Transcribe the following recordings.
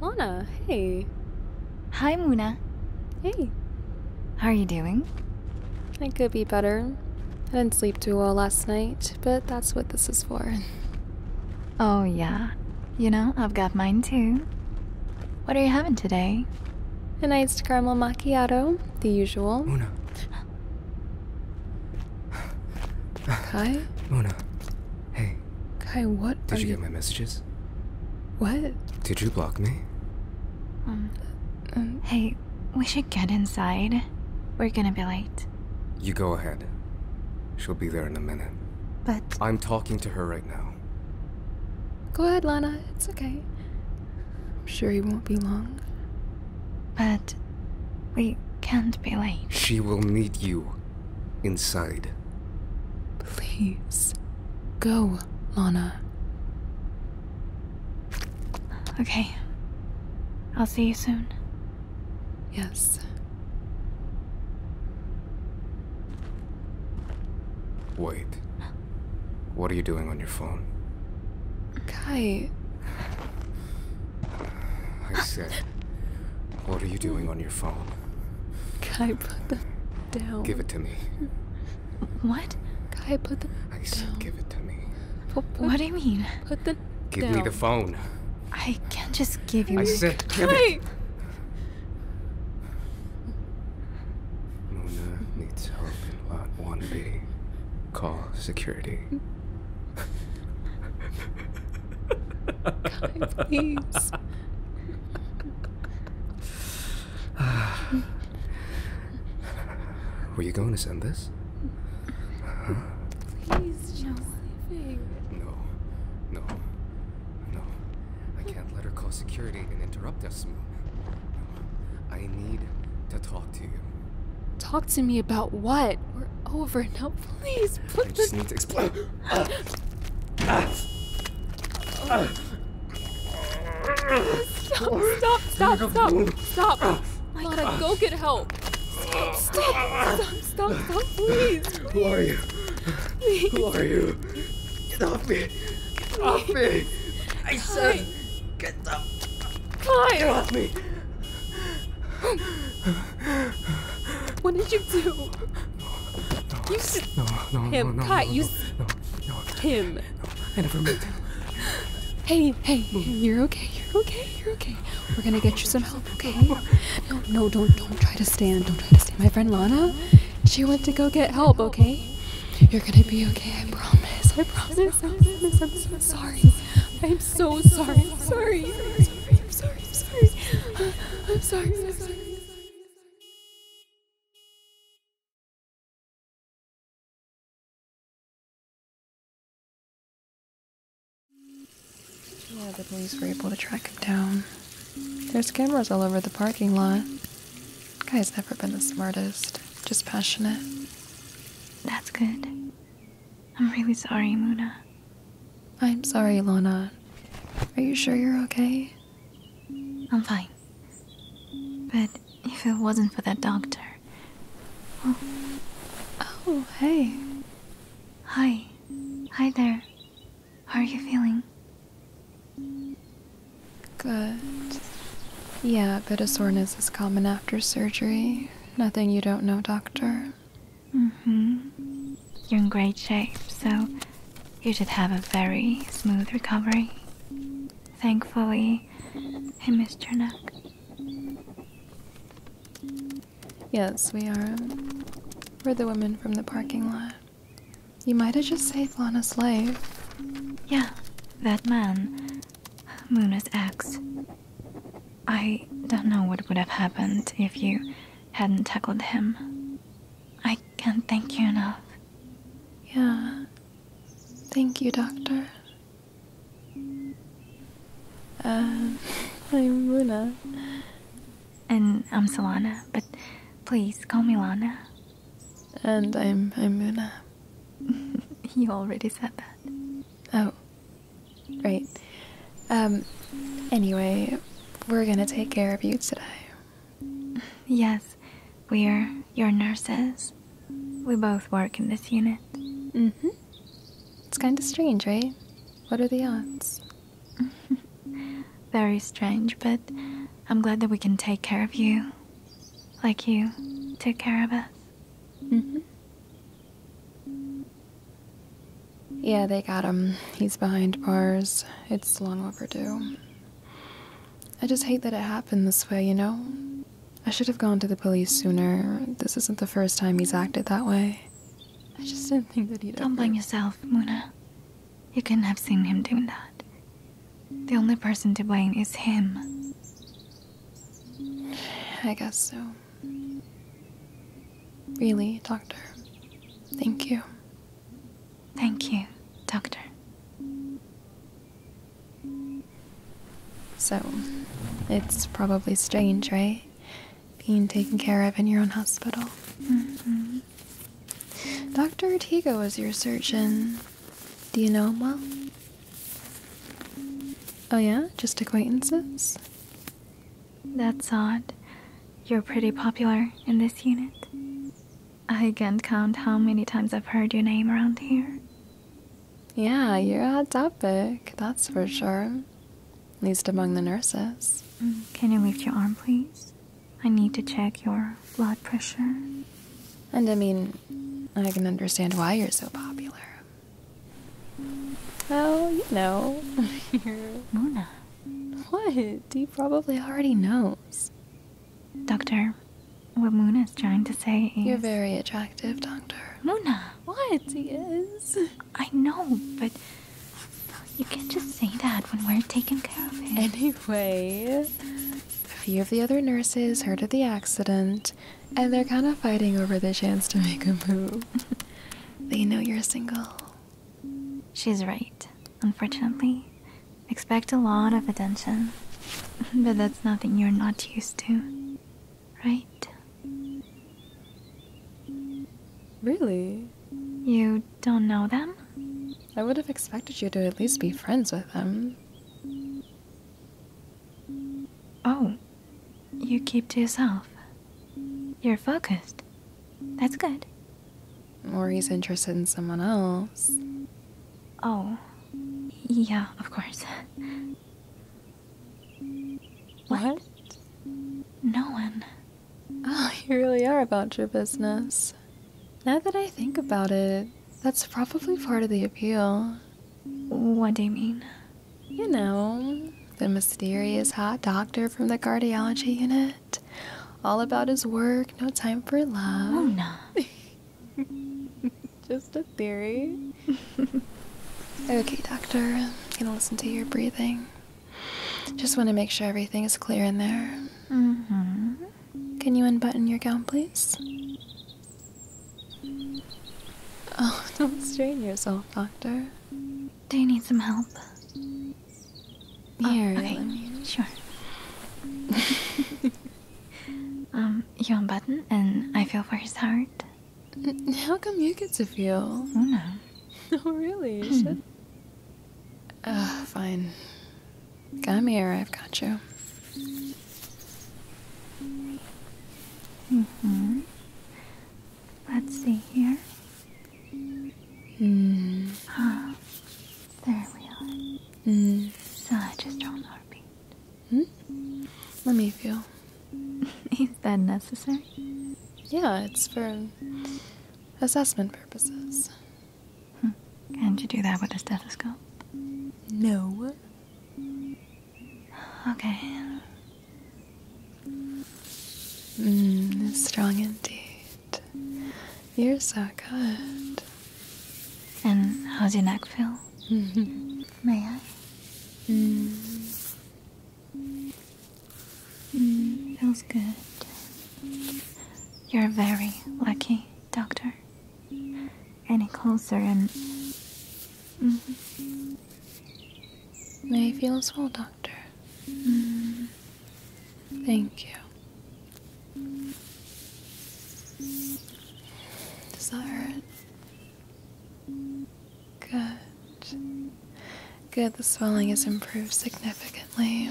Lana, hey. Hi, Muna. Hey. How are you doing? I could be better. I didn't sleep too well last night, but that's what this is for. Oh, yeah. You know, I've got mine too. What are you having today? An iced caramel macchiato, the usual. Muna. Hi? Muna. Hey. Kai, what Did you, get my messages? What? Did you block me? Um, um, hey, we should get inside. We're gonna be late. You go ahead. She'll be there in a minute. But... I'm talking to her right now. Go ahead, Lana. It's okay. I'm sure he won't be long. But... we can't be late. She will need you inside. Please, go, Lana. Okay. I'll see you soon. Yes. Wait. What are you doing on your phone? Kai. I said. What are you doing on your phone? Kai, put them down. Give it to me. What? Kai, put them I said give it to me. what do you mean? Put them Give me the phone. I can't just give you... I said give Kai. it. Mona needs help in Lot 1B. Call security please. Were you going to send this? Please, No, no, no. I can't let her call security and interrupt us. No. I need to talk to you. Talk to me about what? We're over now. Please put this. I just need to explain. Stop, stop, stop, stop, stop. Lana, go get help. Stop, stop, stop, stop, stop, please. please. Who are you? Please. Who are you? Get off me. Get please. off me. I said, Hi. get up. Kai. Get off me. What did you do? No, you s- no, no, him, no, no, Kai, no, you s- no, no, no, him. No, I never meant to. Hey, hey, you're okay, you're okay, you're okay. We're gonna get you some help, okay? No, no, don't, don't try to stand, don't try to stand. My friend Lana, she went to go get help, okay? You're gonna be okay, I promise, I promise, I promise. I'm so sorry. I'm so sorry, I'm sorry, I'm sorry, I'm sorry sorry, I'm sorry. I'm sorry, I'm sorry. Yeah, the police were able to track him down. There's cameras all over the parking lot. Guy's never been the smartest, just passionate. That's good. I'm really sorry, Muna. I'm sorry, Lona. Are you sure you're okay? I'm fine. But if it wasn't for that doctor. Well, oh, hey. Hi. Hi there. How are you feeling? Good. Yeah, a bit of soreness is common after surgery. Nothing you don't know, doctor. Mm-hmm. You're in great shape, so you should have a very smooth recovery. Thankfully, I missed your neck. Yes, we are. We're the women from the parking lot. You might have just saved Lana's life. Yeah, that man. Munas ex. I don't know what would have happened if you hadn't tackled him. I can't thank you enough. Yeah. Thank you, Doctor. Uh, I'm Luna. And I'm Solana, but please call me Lana. And I'm I'm Muna. you already said that. Oh, right. Um, anyway, we're gonna take care of you today. Yes, we're your nurses. We both work in this unit. hmm. It's kinda strange, right? What are the odds? Very strange, but I'm glad that we can take care of you. Like you took care of us. hmm. Yeah, they got him. He's behind bars. It's long overdue. I just hate that it happened this way, you know? I should have gone to the police sooner. This isn't the first time he's acted that way. I just didn't think that he'd. Don't blame yourself, Muna. You couldn't have seen him doing that. The only person to blame is him. I guess so. Really, Doctor. Thank you. Thank you, Doctor. So, it's probably strange, right? Being taken care of in your own hospital. Mm-hmm. Dr. Ortega was your surgeon. Do you know him well? Oh, yeah? Just acquaintances? That's odd. You're pretty popular in this unit. I can't count how many times I've heard your name around here. Yeah, you're a hot topic, that's for mm-hmm. sure. At least among the nurses. Mm, can you lift your arm, please? I need to check your blood pressure. And I mean, I can understand why you're so popular. Well, you know, you're... Mona. What? he probably already knows. Doctor, what Moon is trying to say is... You're very attractive, Doctor. Muna! What? He is. I know, but you can't just say that when we're taking care of him. Anyway, a few of the other nurses heard of the accident, and they're kind of fighting over the chance to make a move. they know you're single, She's right. Unfortunately, expect a lot of attention. but that's nothing you're not used to, right? Really? You don't know them? I would have expected you to at least be friends with them. Oh, you keep to yourself. You're focused. That's good. Or he's interested in someone else. Oh. Yeah, of course. What? what? No one. Oh, you really are about your business. Now that I think about it, that's probably part of the appeal. What do you mean? You know, the mysterious hot doctor from the cardiology unit. All about his work, no time for love. Mona. Oh, Just a theory. okay, doctor, I'm gonna listen to your breathing. Just want to make sure everything is clear in there. Mm-hmm. Can you unbutton your gown, please? Oh, don't strain yourself, doctor. Do you need some help? Oh, here, okay. Sure. um, you unbutton and I feel for his heart. How come you get to feel? Oh, no. oh, really? You hmm. should... Ugh, fine. Come here, I've got you. Mm-hmm. Let's see here. Mm. Ah, there we are. Mm. Such a strong heartbeat. Hmm? Let me feel. Is that necessary? Yeah, it's for assessment purposes. Hmm. Can't you do that with a stethoscope? No. Okay. Mmm, strong indeed. You're so good. And how's your neck feel? Mm-hmm. May I? Mm. Mm, feels good. You're very lucky, Doctor. Any closer and. Mm -hmm. May I feel as well, Doctor? Mm-hmm. Thank you. Does that hurt? Good. Good, the swelling has improved significantly.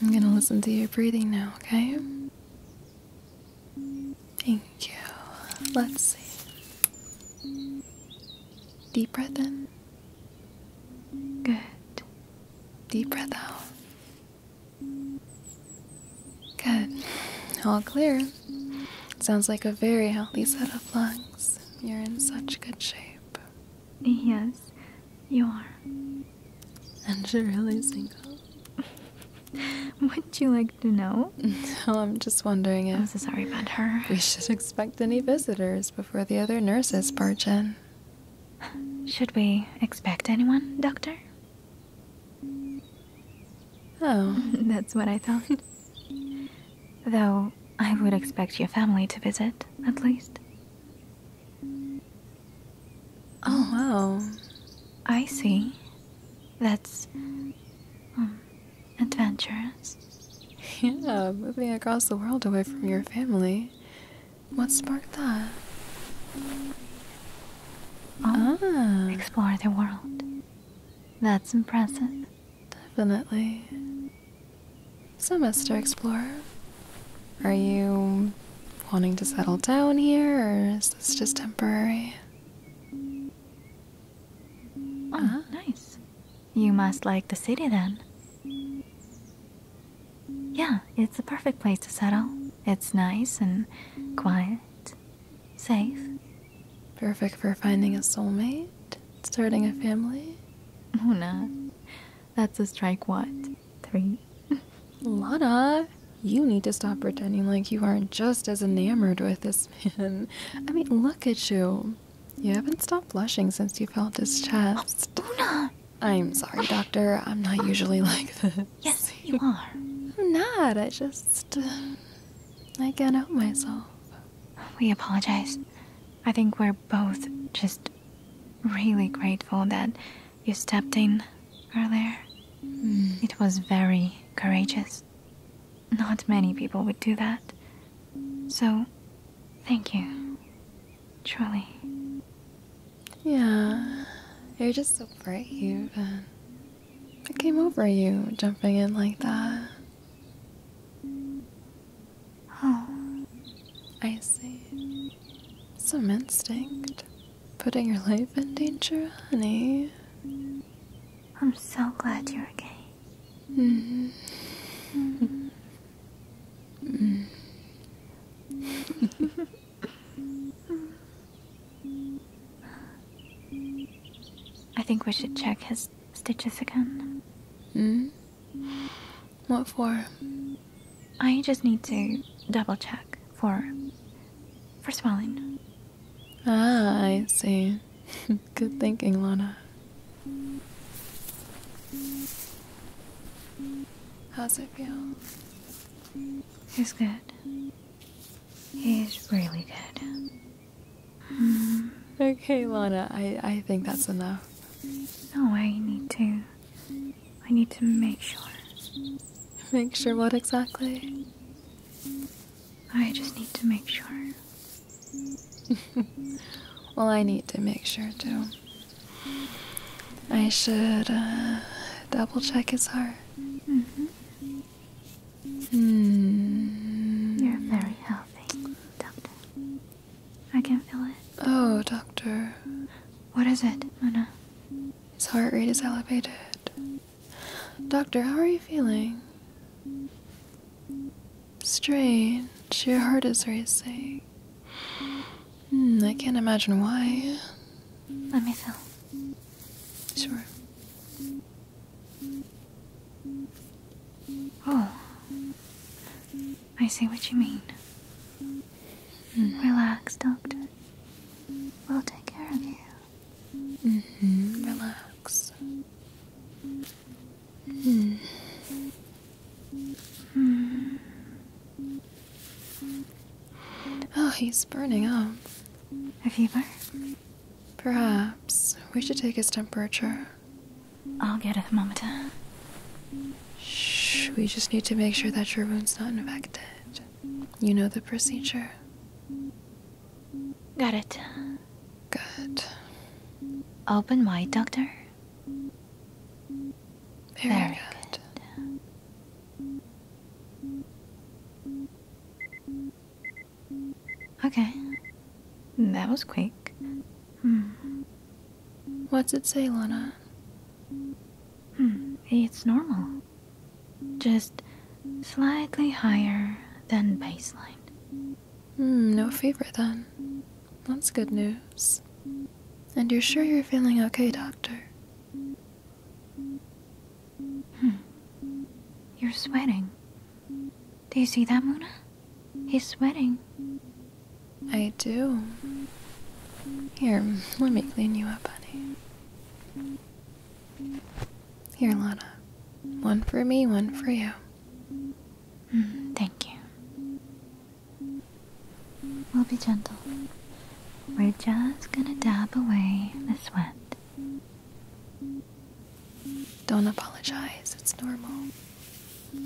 I'm gonna listen to your breathing now, okay? Thank you. Let's see. Deep breath in. Good. Deep breath out. Good. All clear. Sounds like a very healthy set of lungs. You're in such good shape. Yes, you are. And you really really single. Would you like to know? No, I'm just wondering if. I'm sorry about her. We should expect any visitors, for the other nurses barge in. Should we expect anyone, Doctor? Oh. That's what I thought. Though I would expect your family to visit, at least. Oh, well, I see. That's hmm, adventurous. Yeah, moving across the world away from your family. What sparked that? Oh, ah. Explore the world. That's impressive. Definitely. So, Mr. Explorer, are you wanting to settle down here, or is this just temporary? Oh, ah. nice. You must like the city then. Yeah, it's a perfect place to settle. It's nice and quiet, safe. Perfect for finding a soulmate, starting a family. Oh, no. That's a strike, what? Three? Lana, you need to stop pretending like you aren't just as enamored with this man. I mean, look at you. You haven't stopped blushing since you felt his mm, chest. Oh, Una! I'm sorry, Doctor. I'm not usually like this. Yes, you are. I'm not. I just. Uh, I can't help myself. We apologize. I think we're both just really grateful that you stepped in earlier. Hmm. It was very courageous. Not many people would do that. So, thank you. Charlie. Yeah, you're just so bright, you. Uh, it came over you jumping in like that. Oh. I see. Some instinct. Putting your life in danger, honey. I'm so glad you're okay. Mm. Mm. Mm. I think we should check his stitches again. Hmm? What for? I just need to double check for for swelling. Ah, I see. Good thinking, Lana. How's it feel? He's good. He's really good. Hmm. Okay, Lana, I, I think that's enough. No, I need to. I need to make sure. Make sure what exactly? I just need to make sure well, I need to make sure too. I should uh, double check his heart. Mm-hmm. Hmm. You're very healthy, Doctor. I can feel it. Oh, Doctor. What is it, Mona? His heart rate is elevated. Doctor, how are you feeling? Strange, your heart is racing. Hmm, I can't imagine why. Let me feel. Sure. Oh. I see what you mean. Relax, Doctor. We'll take care of you. Mm-hmm, relax. Hmm. Oh, he's burning up. A fever? Perhaps. We should take his temperature. I'll get a thermometer. Shh, we just need to make sure that your wound's not infected. You know the procedure. Got it. Good. Open wide, Doctor. Very, Very good. Okay. That was quick. Hmm. What's it say, Lana? Hmm. It's normal. Just slightly higher than baseline. Hmm, no fever then. That's good news. And you're sure you're feeling okay, Doctor? Hmm. You're sweating. Do you see that, Muna? He's sweating. I do. Here, let me clean you up, honey. Here, Lana. One for me, one for you. Mm, thank you. We'll be gentle. We're just gonna dab away the sweat. Don't apologize, it's normal.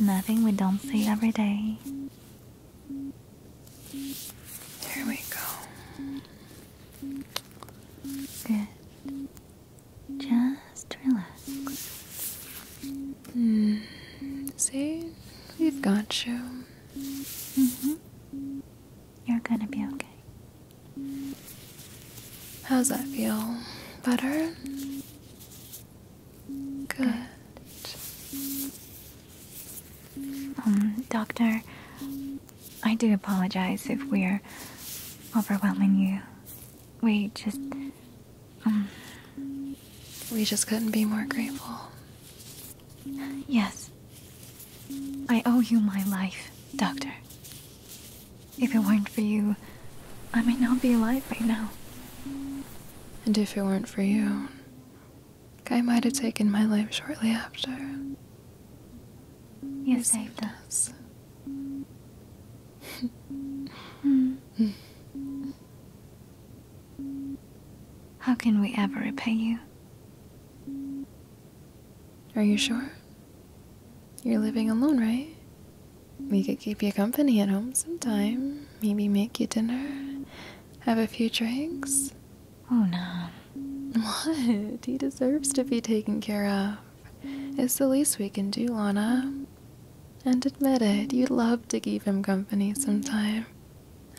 Nothing we don't see every day. Here we go. Good. Just just relax. Hmm, see, we've got you. Mm-hmm. You're gonna be okay. How's that feel? Better? Good. Um, doctor, I do apologize if we're overwhelming you we just um. we just couldn't be more grateful. Yes. I owe you my life, Doctor. If it weren't for you, I might not be alive right now. And if it weren't for you, I might have taken my life shortly after. You, saved, us. Hmm. How can we ever repay you? Are you sure? You're living alone, right? We could keep you company at home sometime. Maybe make you dinner. Have a few drinks. Oh, no. What? He deserves to be taken care of. It's the least we can do, Lana. And admit it, you'd love to keep him company sometime.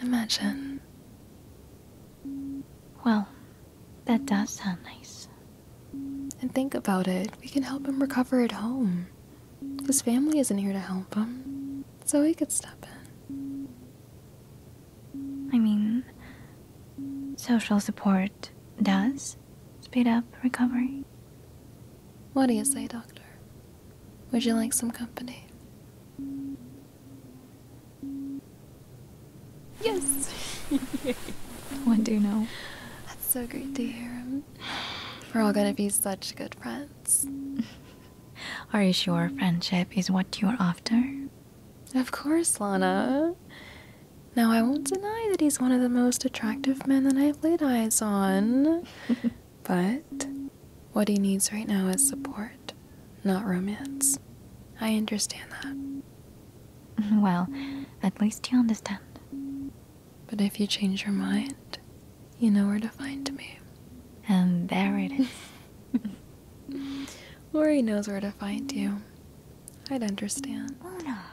Imagine. Well, that does sound nice. And think about it, we can help him recover at home. His family isn't here to help him, so we could step in. I mean, social support does speed up recovery. What do you say, Doctor? Would you like some company? Yes! One do you know. That's so great to hear. We're all gonna be such good friends. Are you sure friendship is what you're after? Of course, Lana. Now, I won't deny that he's one of the most attractive men that I've laid eyes on. But what he needs right now is support, not romance. I understand that. Well, at least you understand. But if you change your mind, you know where to find me. And um, there it is. Lori knows where to find you. I'd understand. Una.